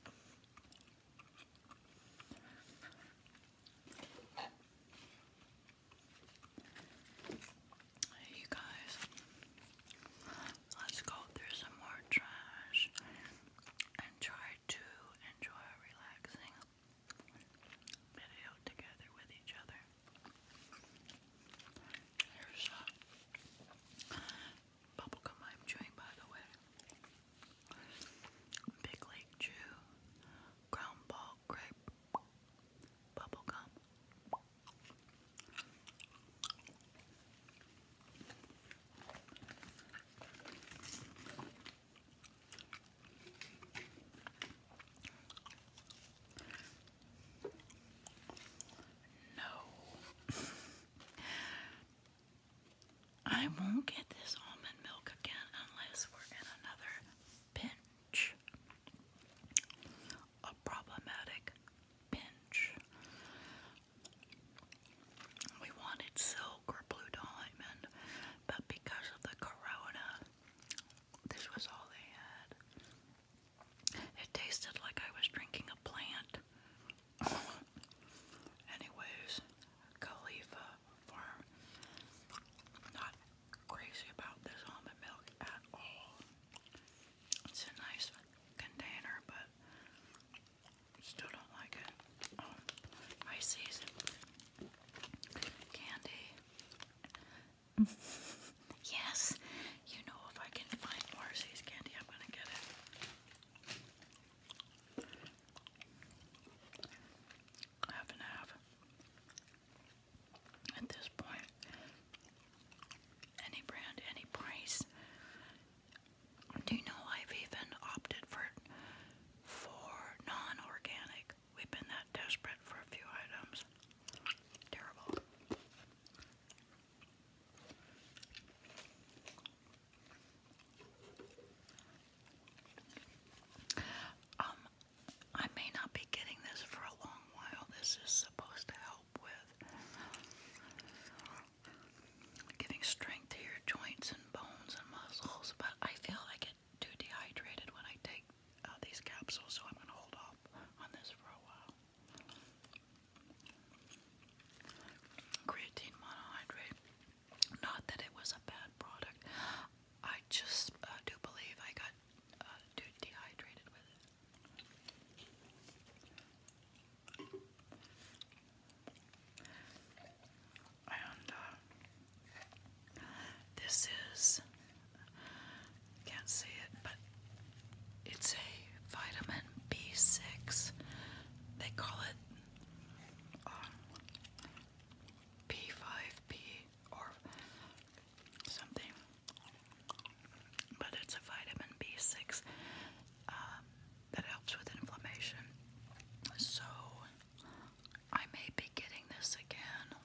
Hey, you guys, let's go through some more trash and try to enjoy a relaxing video together with each other. Here's a bubblegum I'm chewing, by the way. Big Lake Chew, Crown Ball Grape, bubblegum. No. I won't get this almond milk again unless we're in another pinch. A problematic pinch. We wanted silk or blue diamond, but because of the corona, this was all they had. It tasted like I was drinking a plant Anyways, Khalifa Farm. Not crazy about this almond milk at all. It's a nice container, but still don't like it. Um, candy. yes, you know if I can find Marcy's candy, I'm gonna get it half and half at this point. Any brand, any price. Do you know I've even opted for for non-organic? We've been that desperate for a few items. Terrible. Um, I may not be getting this for a long while. This is supposed to help with giving strength to your joints and bones and muscles, but I feel I get too dehydrated when I take uh, these capsules, so I'm going to hold off on this for a while creatine monohydrate. Not that it was a bad product. I just uh, do believe I got too uh, dehydrated with it. And uh, this is, can't see it, but it's a vitamin B6. They call it b 5 p or something, but it's a vitamin B6 um, that helps with inflammation. So I may be getting this again.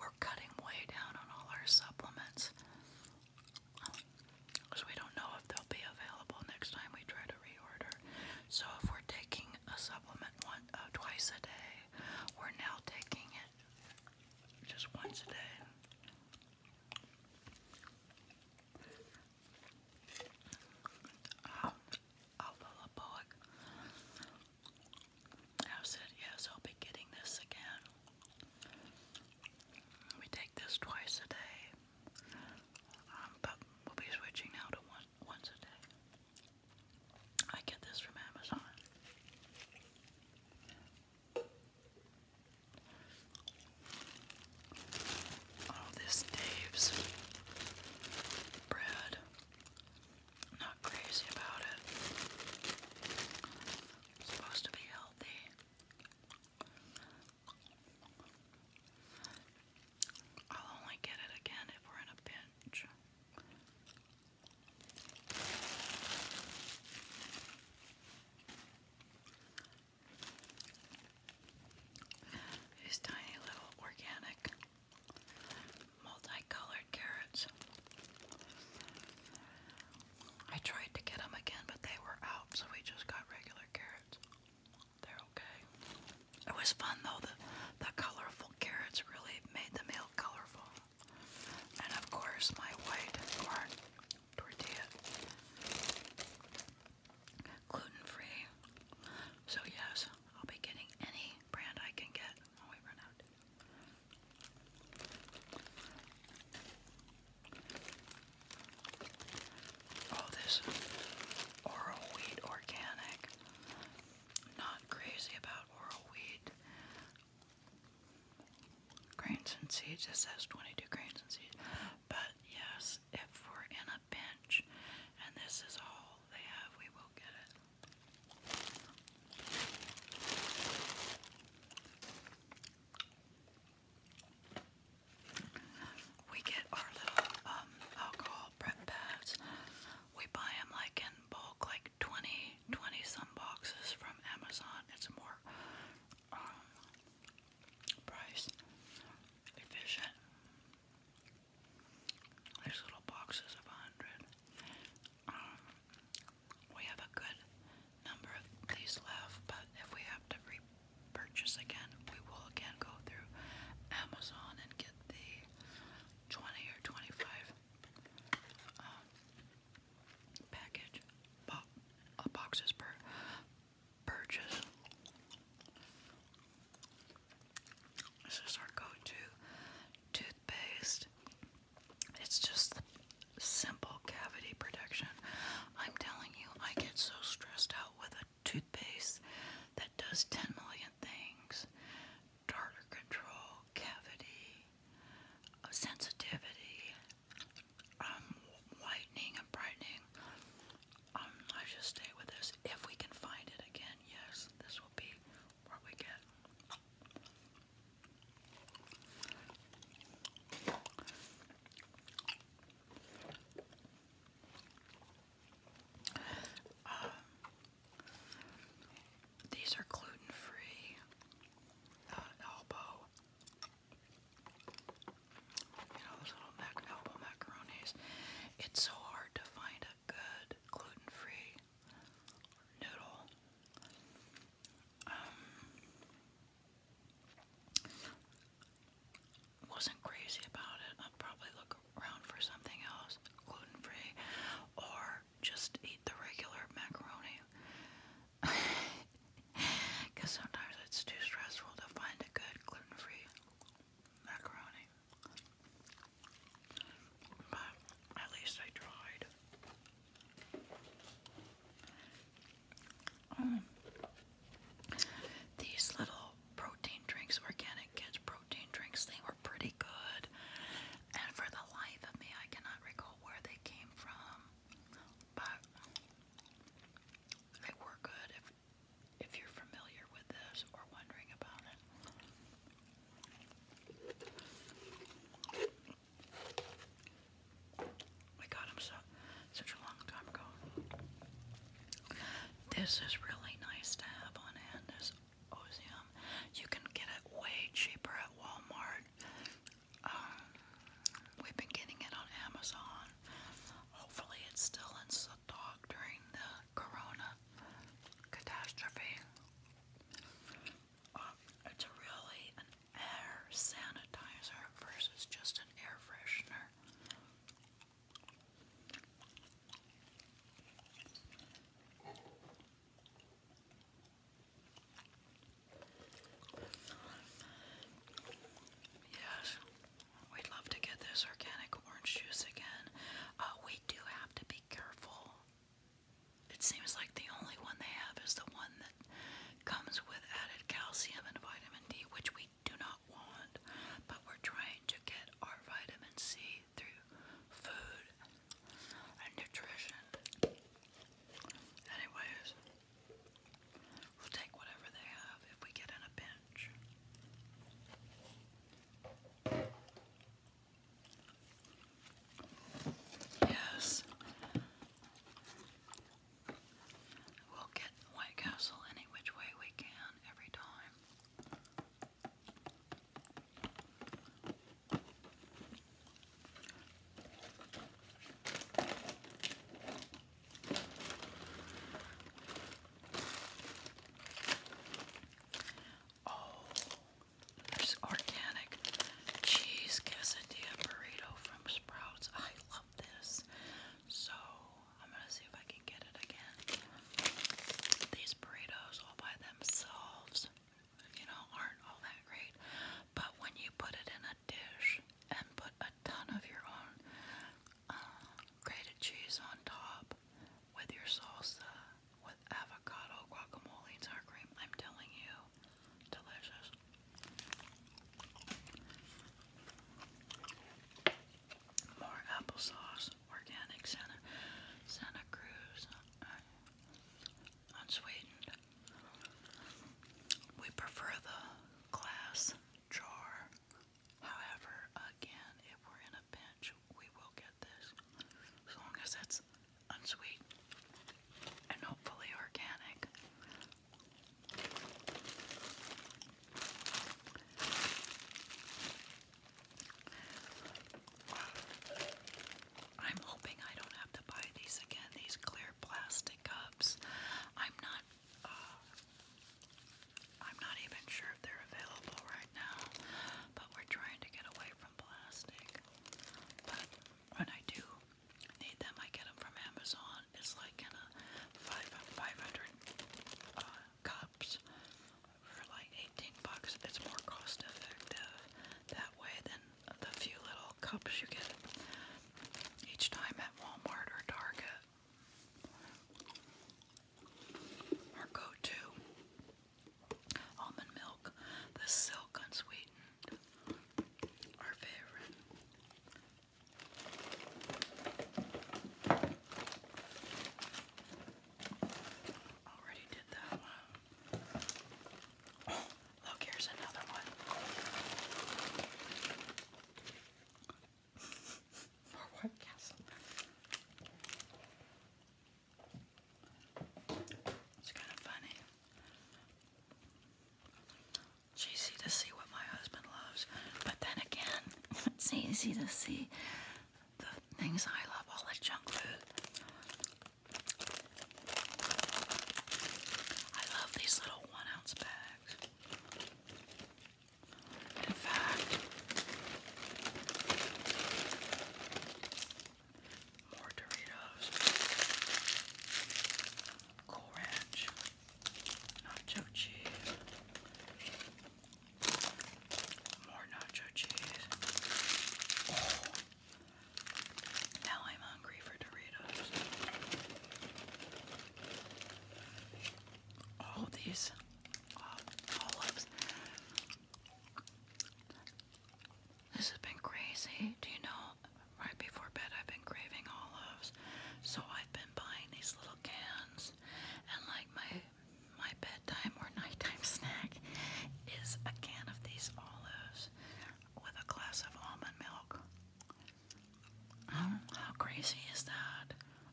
We're cutting way down on all our supplements because we don't know if they'll be available next time we try to reorder. So if we're taking a supplement once, uh, twice a day, we're now taking it just once a day. Um, Alpha I said yes, I'll be getting this again. We take this twice a day. Um, but we'll be switching now to one once a day. I get this from Amazon. Oh, this Dave's bread. Not crazy about it. supposed to be healthy. I'll only get it again if we're in a pinch. These tiny little organic multicolored carrots. I tried to get them again, but they were out, so we just got regular carrots. They're okay. It was fun though. The the colorful carrots really made the meal colorful. And of course my white tortilla. Gluten free. So yes, I'll be getting any brand I can get. Oh we run out. Oh, this oral wheat organic. Not crazy about oral wheat. Grains and seeds. It says 22 grains and seeds. But yes, if we're in a pinch and this is all they have, we will get it. We get our little um, alcohol prep pads. We buy them like in bulk, like 20, 20 some boxes from Amazon. It's more um, price efficient. There's little boxes of 100. Um, we have a good number of these left, but if we have to repurchase again, we will again go through Amazon and get the 20 or 25 um, package bo uh, boxes per purchase. This is our go-to toothpaste. It's just simple cavity protection. I'm telling you, I get so stressed out with a toothpaste that does 10 million things tartar control, cavity, uh, sensitivity, whitening and brightening. Um, I should stay with this. If we can find it again, yes, this will be what we get. Um, these are gluten-free elbow. You know those little elbow macaronis. It's so hard to find a good gluten-free noodle. Um, wasn't crazy about it. I'd probably look around for something else, gluten free, or just eat the regular macaroni. Because sometimes it's too stressful to find a good gluten free macaroni. But at least I tried. Um, these little protein drinks, organic kids protein drinks, they were pretty good. And for the life of me, I cannot recall where they came from. But they were good if if you're familiar with this or wondering about it. We got them so such a long time ago. This is really nice to have on hand. This osium, you can get it way cheaper at Walmart. Um, we've been getting it on Amazon. Hopefully, it's still in stock during the Corona catastrophe. Uh, it's really air sanitizer versus just an air freshener. Yes, we'd love to get this organic orange juice again. Uh, we do have to be careful. It seems like the only one they have is the one that comes with added calcium and vitamin D, which we do not want, but we're trying to get our vitamin C through food and nutrition. Anyways, we'll take whatever they have if we get in a pinch. Yes, We'll get White Castle any which way we can every time. Oh, there's organic cheese quesadilla burrito from Sprouts. I love this. So I'm gonna see if I can get it again. These burritos all by themselves, you know, aren't all that great. But when you put it in a dish and put a ton of your own uh, grated cheese on top with your salsa, with avocado, guacamole, sour cream, I'm telling you, delicious. More applesauce, organic Santa, Santa Cruz, uh, unsweetened. We prefer the glass jar. However, again, if we're in a pinch, we will get this. As long as it's unsweetened and hopefully organic. I'm hoping I don't have to buy these again, these clear plastic cups. I'm not uh, I'm not even sure if they're available right now, but we're trying to get away from plastic. But when I do, need them. I get them from Amazon. It's like kind of five five hundred uh, cups for like eighteen bucks. It's more cost effective that way than the few little cups you get each time at Walmart or Target. Our go-to almond milk, the silk unsweetened, our favorite. Already did that one. Oh, look, here's another one. For what castle? It's kind of funny. It's easy to see what my husband loves, but then again, it's easy to see the things I love, all the junk food. I love these little one ounce bags. In fact, more Doritos, Cool Ranch nacho cheese, more nacho cheese. Oh. Now I'm hungry for Doritos. All these uh, olives. This has been crazy. Do you know right before bed, I've been craving olives, so I've been buying these little cans. And like my my bedtime or nighttime snack is a can of these olives with a glass of almond milk. how crazy is that?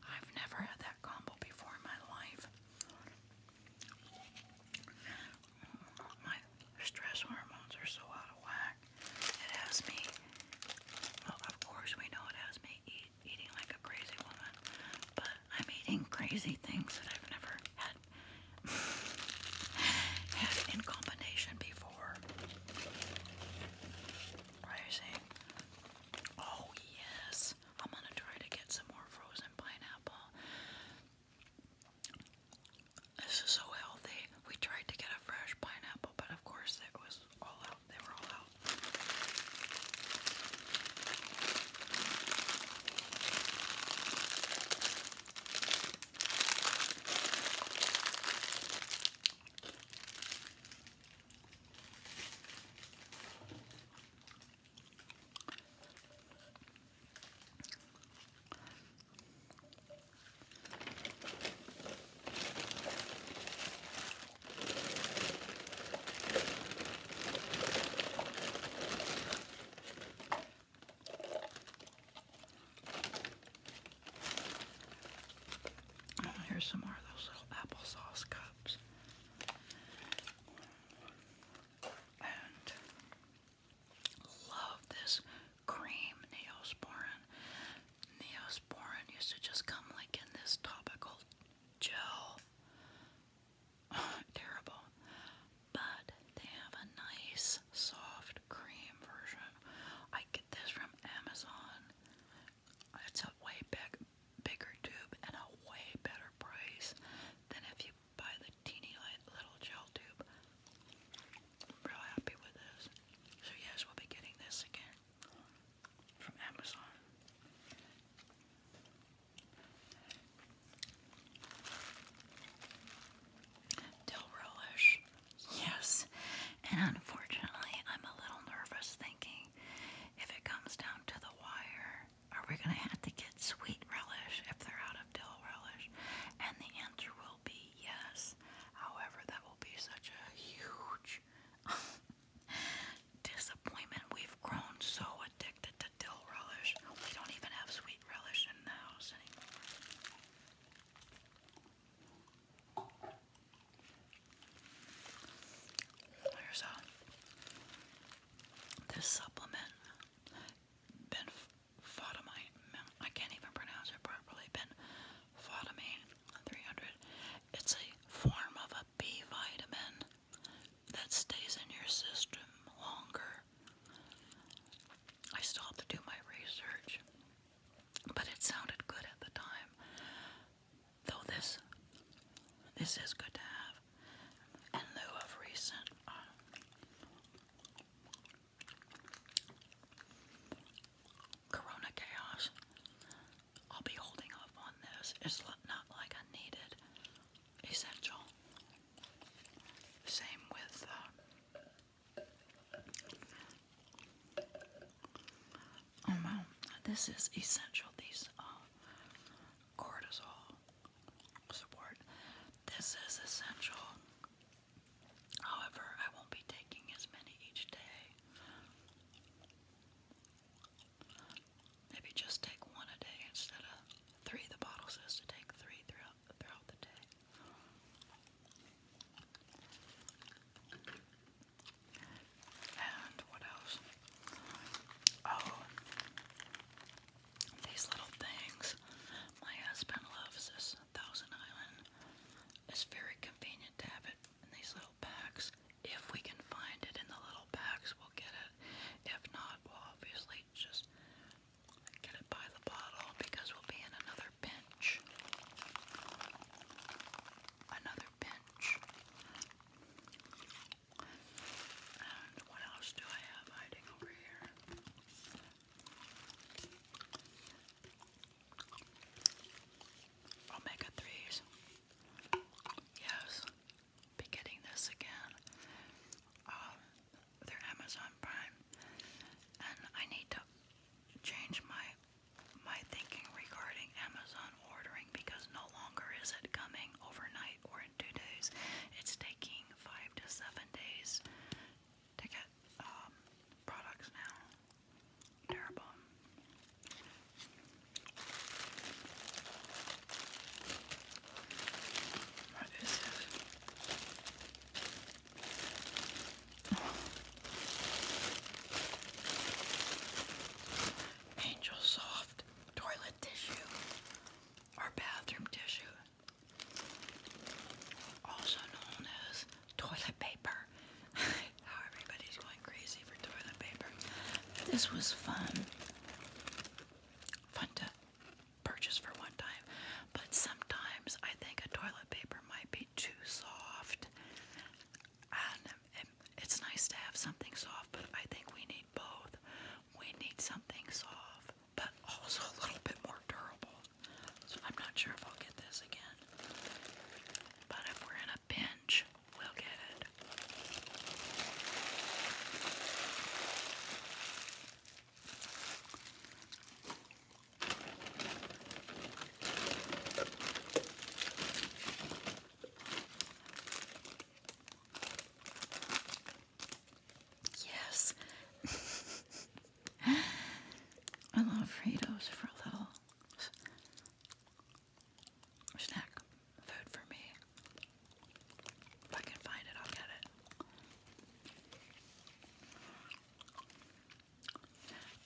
I've never had that combo before in my life. My stress hormones are so out of whack. It has me, well, of course, we know it has me eating like a crazy woman, but I'm eating crazy things that I've never had, in combination before. Right, see? Oh, yes. I'm gonna try to get some more frozen pineapple. This is so healthy. We tried to get a fresh pineapple, but of course it was all out. They were all out. Here's some more of those little applesauce cups. And love this cream neosporin. Neosporin used to just come like in this topical gel. Terrible. But they have a nice soft cream version. I get this from Amazon. It's a way big, bigger tube and a way better price than if you buy the teeny little gel tube. I'm real happy with this. So yes, we'll be getting this again from Amazon. Dill relish. Yes. And unfortunately, I'm a little nervous thinking if it comes down to the wire, are we going to have to get sweet relish if they're out of dill relish? And the answer will be yes. However, that will be such a huge disappointment. We've grown so addicted to dill relish. We don't even have sweet relish in the house anymore. There's a this supplement Photomine, I can't even pronounce it properly, been Photomine 300. It's a form of a B vitamin that stays in your system longer. I still have to do my research, but it sounded good at the time. Though this, this is good to have in lieu of recent uh, Corona Chaos. I'll be holding up on this. It's not like I needed essential. Same with uh, oh wow, this is essential. These uh, cortisol support. This is essential However, I won't be taking as many each day. Maybe just take one a day instead of three. The bottle says to take three throughout, throughout the day. And what else? Oh, these little things. My husband loves this Thousand Island. It's very convenient to have it in these little packs. If we can find it in the little packs, we'll get it. If not, we'll obviously just get it by the bottle because we'll be in another pinch. Another pinch. And what else do I have hiding over here? Omega 3s. Yes, be getting this again. Um, they Amazon Prime. And I need to change my my thinking regarding Amazon ordering because no longer is it coming overnight or in two days. It's taking five to seven days ticket um, products now. Terrible. What is Angel Soft toilet tissue or bathroom tissue also known as toilet paper. everybody's going crazy for toilet paper. This was fun. Fun to purchase for one time, but sometimes I think a toilet paper might be too soft. And it's nice to have something soft, but I think we need both. We need something soft but also a little bit more durable. So I'm not sure if I'll get this again. But if we're in a pinch, we'll get it. Yes. I love Fritos for a little snack food for me. If I can find it, I'll get it.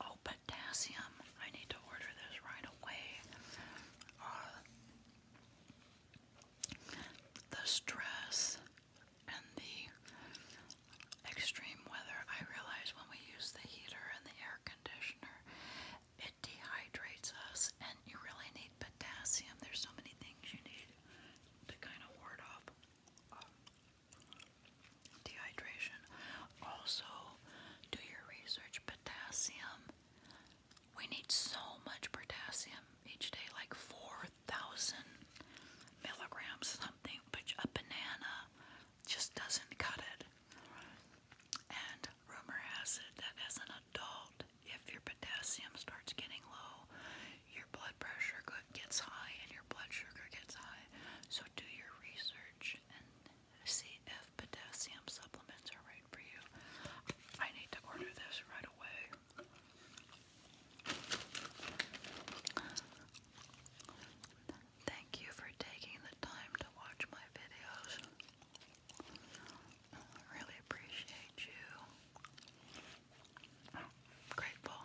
Oh, potassium. I need to order this right away. Uh, the stress and the extreme weather, I realize when we use the heater and the air conditioner, it dehydrates us, and you really need potassium. There's so many things you need to kind of ward off um, dehydration. Also, do your research. Potassium. We need so much potassium each day, like four thousand milligrams something, which a banana just doesn't cut it. And rumor has it that as an adult, if your potassium starts getting low, your blood pressure gets high and your blood sugar gets high. So do your research and see if potassium supplements are right for you. I need to order this right away. Thank you for taking the time to watch my videos. Really appreciate you. Grateful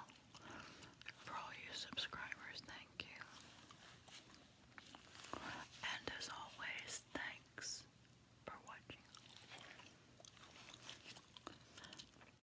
for all you subscribers. Thank you. And as always, thanks for watching.